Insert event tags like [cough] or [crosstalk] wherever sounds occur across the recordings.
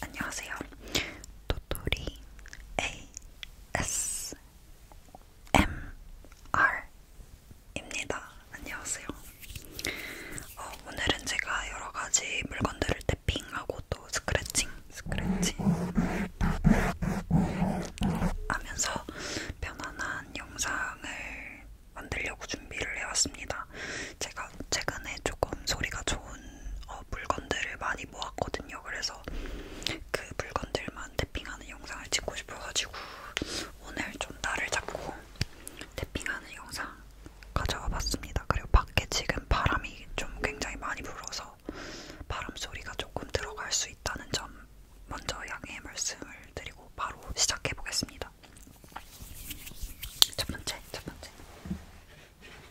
안녕하세요. 도토리 ASMR입니다. 안녕하세요. 어, 오늘은 제가 여러 가지 물건들을 탭핑하고 또 스크래칭, 스크래칭 하면서 편안한 영상을 만들려고 준비를 해왔습니다. 제가 최근에 조금 소리가 좋은 어, 물건들을 많이 모았거든요. 그래서 그 물건들만 탭핑하는 영상을 찍고 싶어가지고 오늘 좀 날을 잡고 탭핑하는 영상 가져와 봤습니다. 그리고 밖에 지금 바람이 좀 굉장히 많이 불어서 바람 소리가 조금 들어갈 수 있다는 점 먼저 양해 말씀을 드리고 바로 시작해 보겠습니다. 첫 번째, 첫 번째.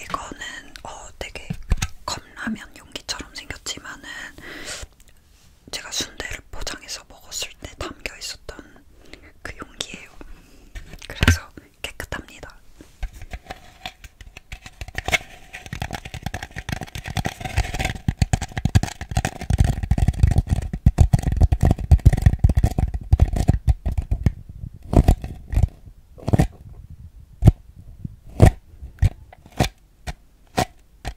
이거는 어 되게 컵라면 용기처럼 생겼지만은 제가 순대를 포장해서 먹었을 때 담겨 있었던 그 용기예요. 그래서 깨끗합니다.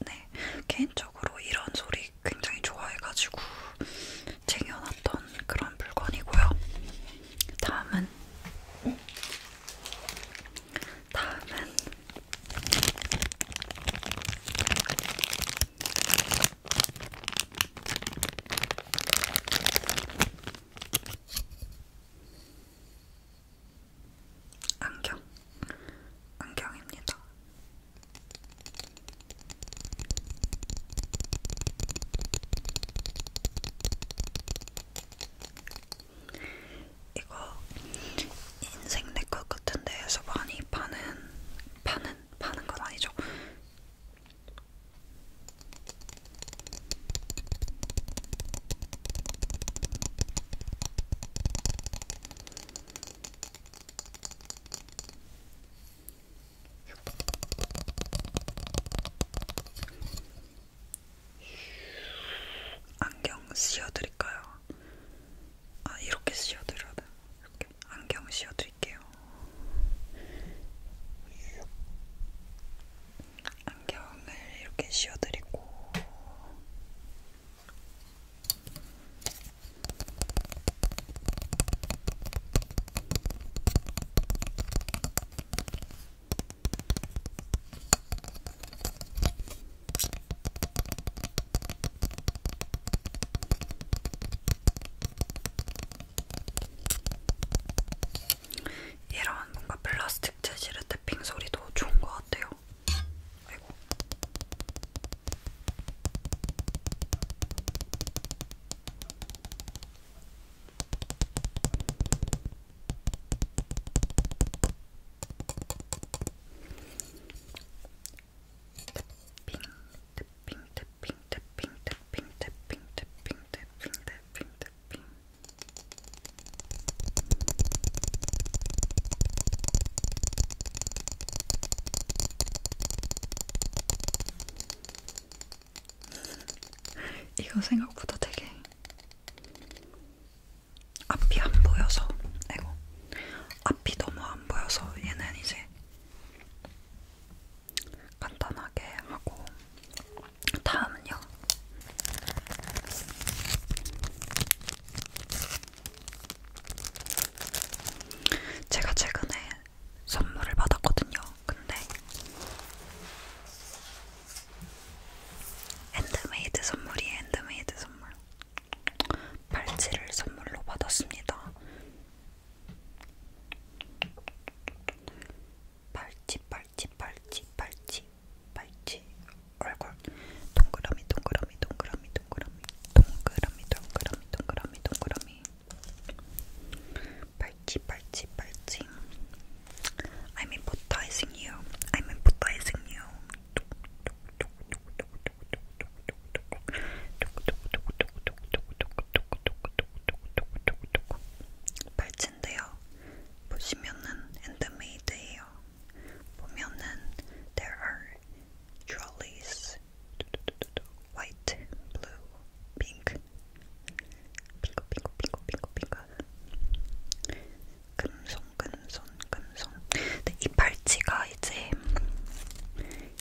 네, 개인적으로 이런 소리 굉장히 좋아해가지고 쟁여놨던 그런 물건이고요. 다음은 다음은 안경, 안경입니다. 이거 인생 내것 같은 데에서 많이 파는 파는 파는 건 아니죠. 안경 씌워드릴까요? 아 이렇게 씌워드려야 되나? 이렇게 안경 씌워드릴게요. 안경을 이렇게 씌워드리고 이런 뭔가 플라스틱 재질의 탭핑 소리도 좋은 것 같아요. 아이고. 탭핑, 탭핑, 탭핑, 탭핑, 탭핑, 탭핑, 탭핑, 탭핑, 탭핑, 탭핑. 이거 생각보다 되게 앞이 안 보여서, 아이고, 앞이 너무 안 보여서 얘는 이제 간단하게 하고 다음은요. 제가 최근에 선물을 받았거든요. 근데 핸드메이드 선물이에요. 핸드메이드 선물. 팔찌를 선물로 받았습니다. 팔찌, 팔찌, 팔찌, 팔찌, 팔찌, 얼굴 동그라미, 동그라미, 동그라미, 동그라미, 동그라미, 동그라미, 동그라미, 동그라미, 팔찌, 팔찌, 팔찌. I'm empathizing you. I'm empathizing you. 발찌인데요. 보시면은 핸드메이드예요. 보면은 there are trolleys, white, blue, pink. 빙고 빙고 빙고 빙고 빙고. 그 금손, 금손, 금손. 근데 이 팔찌가 이제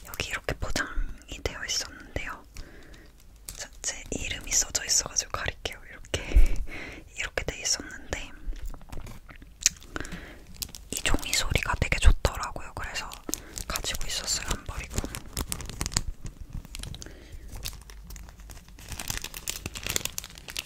여기 이렇게 포장이 되어 있었는데요. 자, 제 이름이 써져 있어가지고 가릴게요. 이렇게 이렇게 돼 있었는데 이 종이 소리가 되게 좋더라고요. 그래서 가지고 있었어요. 안 버리고.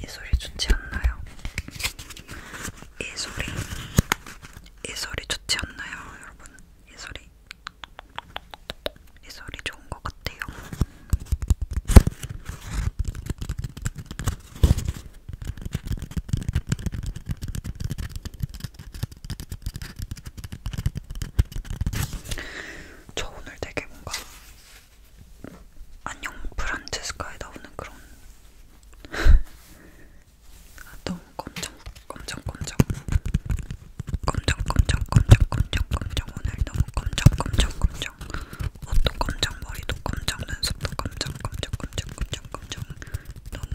이 소리 좋지 않나요? 이 소리, 이 소리 좋지 않나요, 여러분? 이 소리, 이 소리 좋은 것 같아요. 저 오늘 되게 뭔가 안녕 프란체스카에 나오는 그런 아, [laughs] 너무 검정 검정 검정 검정 검정 검정 검정 검정 오늘 너무 검정 검정 검정 옷도 검정 머리도 검정 눈썹도 검정 검정 검정 검정 검정 너무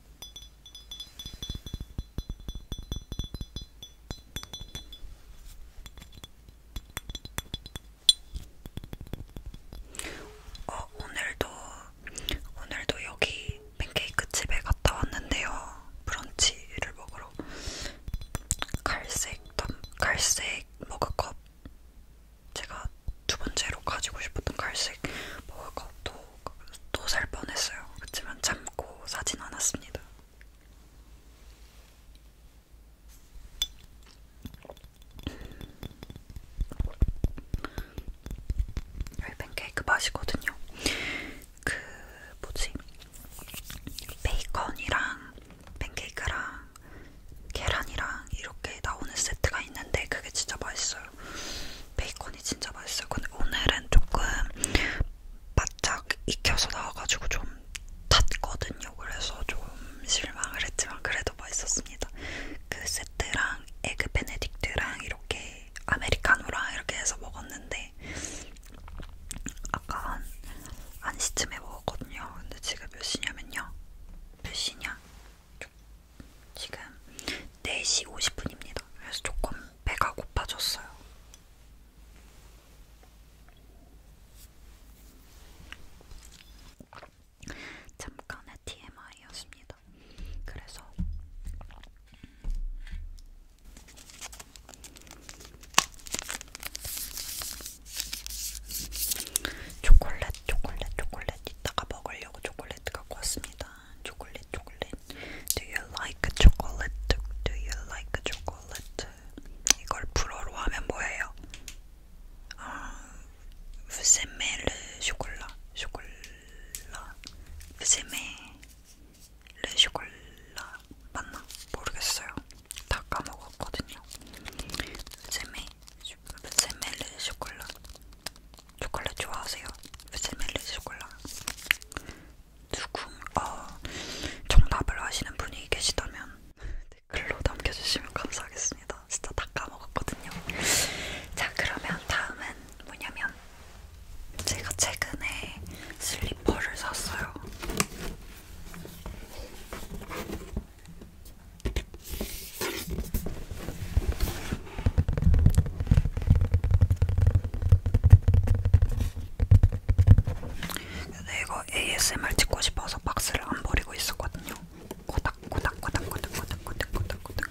어, 오늘도 오늘도 여기 팬케이크 집에 갔다 왔는데요. 브런치를 먹으러 갈색 갈색 머그컵 제가 두 번째로 가지고 싶었던 갈색 머그컵도 또살 뻔했어요. 그렇지만 참고 사진 않았습니다. 여기 팬케이크 맛이거든요. 그 뭐지? 베이컨이랑 팬케이크랑 계란이랑 이렇게 나오는 세트가 있는데 그게 진짜 맛있어요. 베이컨이 진짜 맛있어요. 근데 오늘은 조금 바짝 익혀서 나와가지고 좀 탔거든요. 그래서 좀 실망을 했지만 그래도 맛있었습니다. 그 세트랑 에그 베네딕트랑 이렇게 아메리카노랑 이렇게 해서 먹었는데 아까 한, 한 시쯤에 먹었거든요. 근데 지금 몇 시냐면요. 몇 시냐? 지금 4시 50분입니다. 그래서 조금 배가 고파졌어요. 잠깐의 TMI였습니다. 그래서 초콜릿, 초콜릿, 초콜릿 이따가 먹으려고 초콜릿 갖고 왔습니다. 초콜릿 초콜릿 Do you like chocolate? Do you like chocolate? 이걸 불어로 하면 뭐예요? 부세메 아, 르 쇼콜라 쇼콜라 부세메 르 쇼콜라 맞나? 모르겠어요 다 까먹었거든요 부세메 부세메 르 쇼콜라 초콜릿 좋아하세요? 웨슬멜리 초콜릿 누군 어, 정답을 아시는 분이 계시다면 댓글로 네, 남겨주시면 감사하겠습니다. 진짜 다 까먹었거든요. 자 그러면 다음은 뭐냐면 제가 최근에 슬리퍼를 샀어요. 근데 이거 ASMR 찍고 싶어서 박스를 안 버리고 있었거든요. 고닥 고닥 고닥 고닥 고닥 고닥 고닥 고닥.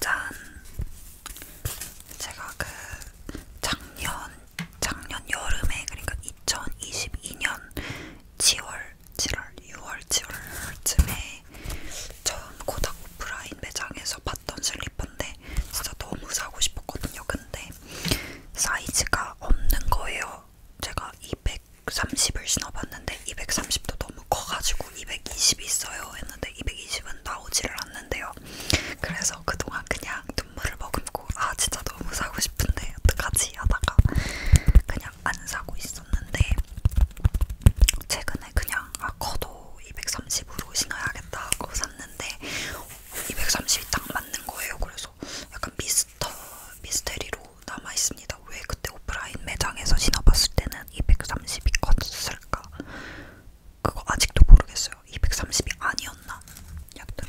짠! 제가 그 작년, 작년 여름에, 그러니까 2022년 10월 7월, 6월, 7월쯤에 처음 고닥 오프라인 매장에서 봤던 슬리퍼인데 진짜 너무 사고 싶었거든요. 근데 사이즈가 없는 거예요. 제가 230을 신어봤는데 230도 너무 커가지고 220이 있어요 했는데 220은 나오지를 않는데요. 그래서 그동안 그냥 눈물을 머금고 아 진짜 너무 사고 싶은데 어떡하지 하다가 그냥 안 사고 있었는데 최근에 그냥 아 커도 230으로 신어야겠다 하고 샀는데 230이 딱 맞는 거예요. 그래서 약간 미스터 미스테리로 남아 있습니다. 왜 그때 오프라인 매장에서 신어봤을 때는 230이 컸을까? 그거 아직도 모르겠어요. 230이 아니었나? 약간.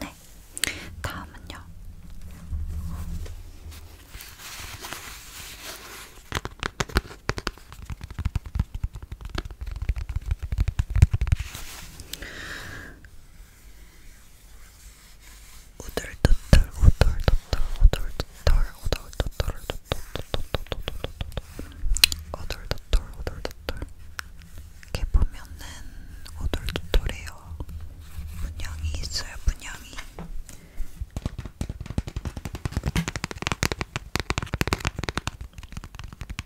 네, 다음은요. 오돌도돌 오돌도돌 오돌도돌 오돌도돌 오돌도돌 오돌도돌 이렇게 보면은 오돌도돌이에요 분양이 있어요 분양이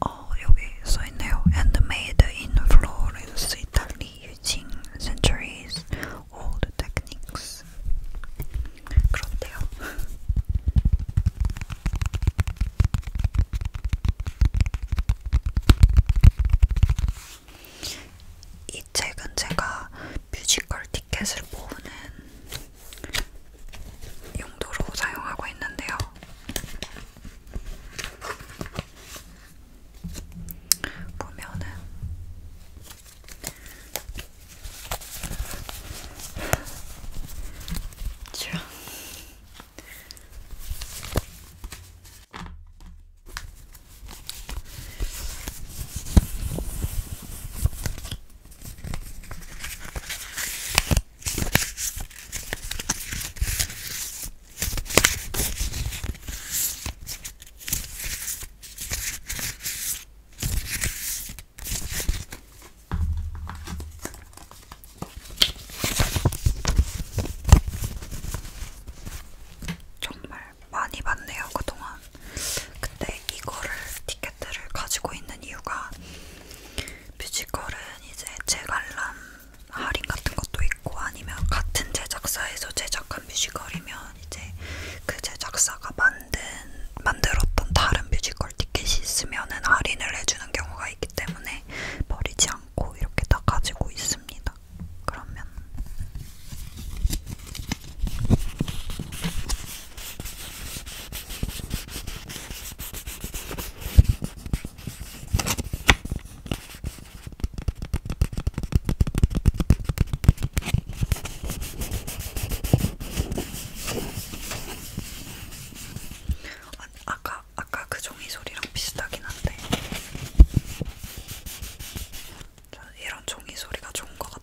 어, 여기 써있네요. And made in Florence, Italy, using centuries old techniques. 그렇대요. 이 책은 제가 뮤지컬 티켓을 모으는 용도로 사용하고 있는데요. 보면은 정말 많이 봤네요 그동안. 근데 이거를 티켓들을 가지고 있는 이유가 뮤지컬은 이제 재관람 할인 같은 것도 있고 아니면 같은 제작사에서 제작한 뮤지컬이면 이제 그 제작사가 만든 만들었던 다른 뮤지컬 티켓이 있으면은 할인을 해주는 경우가 있기 때문에 버리지 않고 이렇게 다 가지고 있습니다. 그러면 아, 아까 아까 그 종이 소리랑 비슷하긴 한데 저는 이런 종이 소리가 좋은 것 같아요.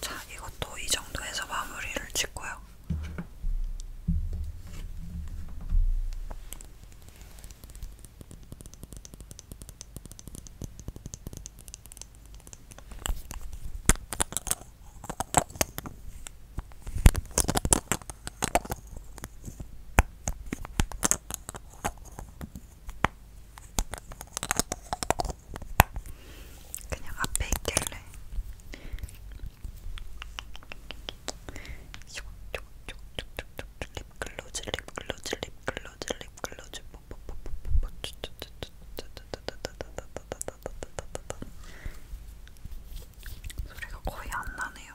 자, 이것도 이 정도에서 마무리를 짓고요. 그냥 앞에 있길래 촉촉촉촉촉촉 립글로즈 립글로즈 립글로즈 글로즈 립 글로즈 뽀뽀뽀뽀뽀뽀 소리가 거의 안 나네요.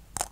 톡톡톡톡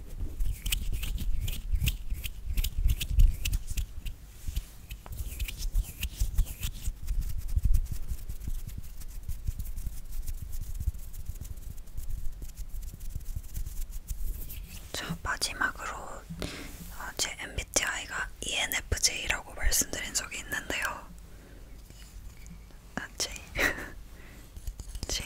저 마지막으로 어, 제 MBTI가 ENFJ라고 말씀드린 적이 있는데요. 아, J. [laughs] J.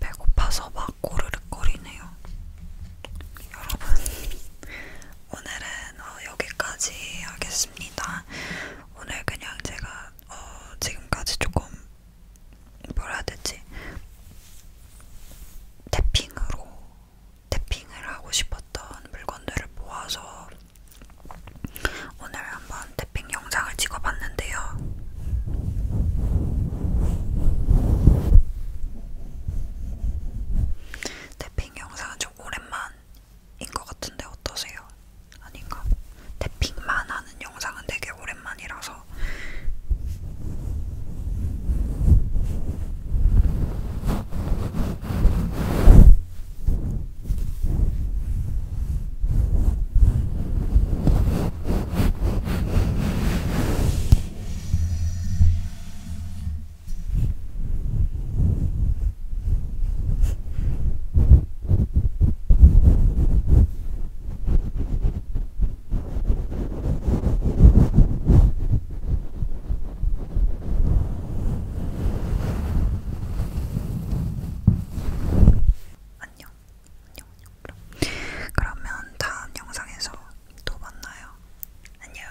배고파서 막 고르륵거리네요. 여러분, 오늘은 어 여기까지 하겠습니다. 않습니다. 오늘 그냥 제가 어, 지금까지 조금 뭐라 해야 되지? 탭핑으로 탭핑을 하고 싶었던 물건들을 모아서 오늘 한번 탭핑 영상을 찍어봤는데요. 탭핑 영상은 좀 오랜만 인것 같은데 어떠세요? 아닌가? 태핑만 하는 영상은 되게 오랜만이라서 안녕, 안녕, 안녕. 그럼. 그러면 다음 영상에서 또 만나요. 안녕.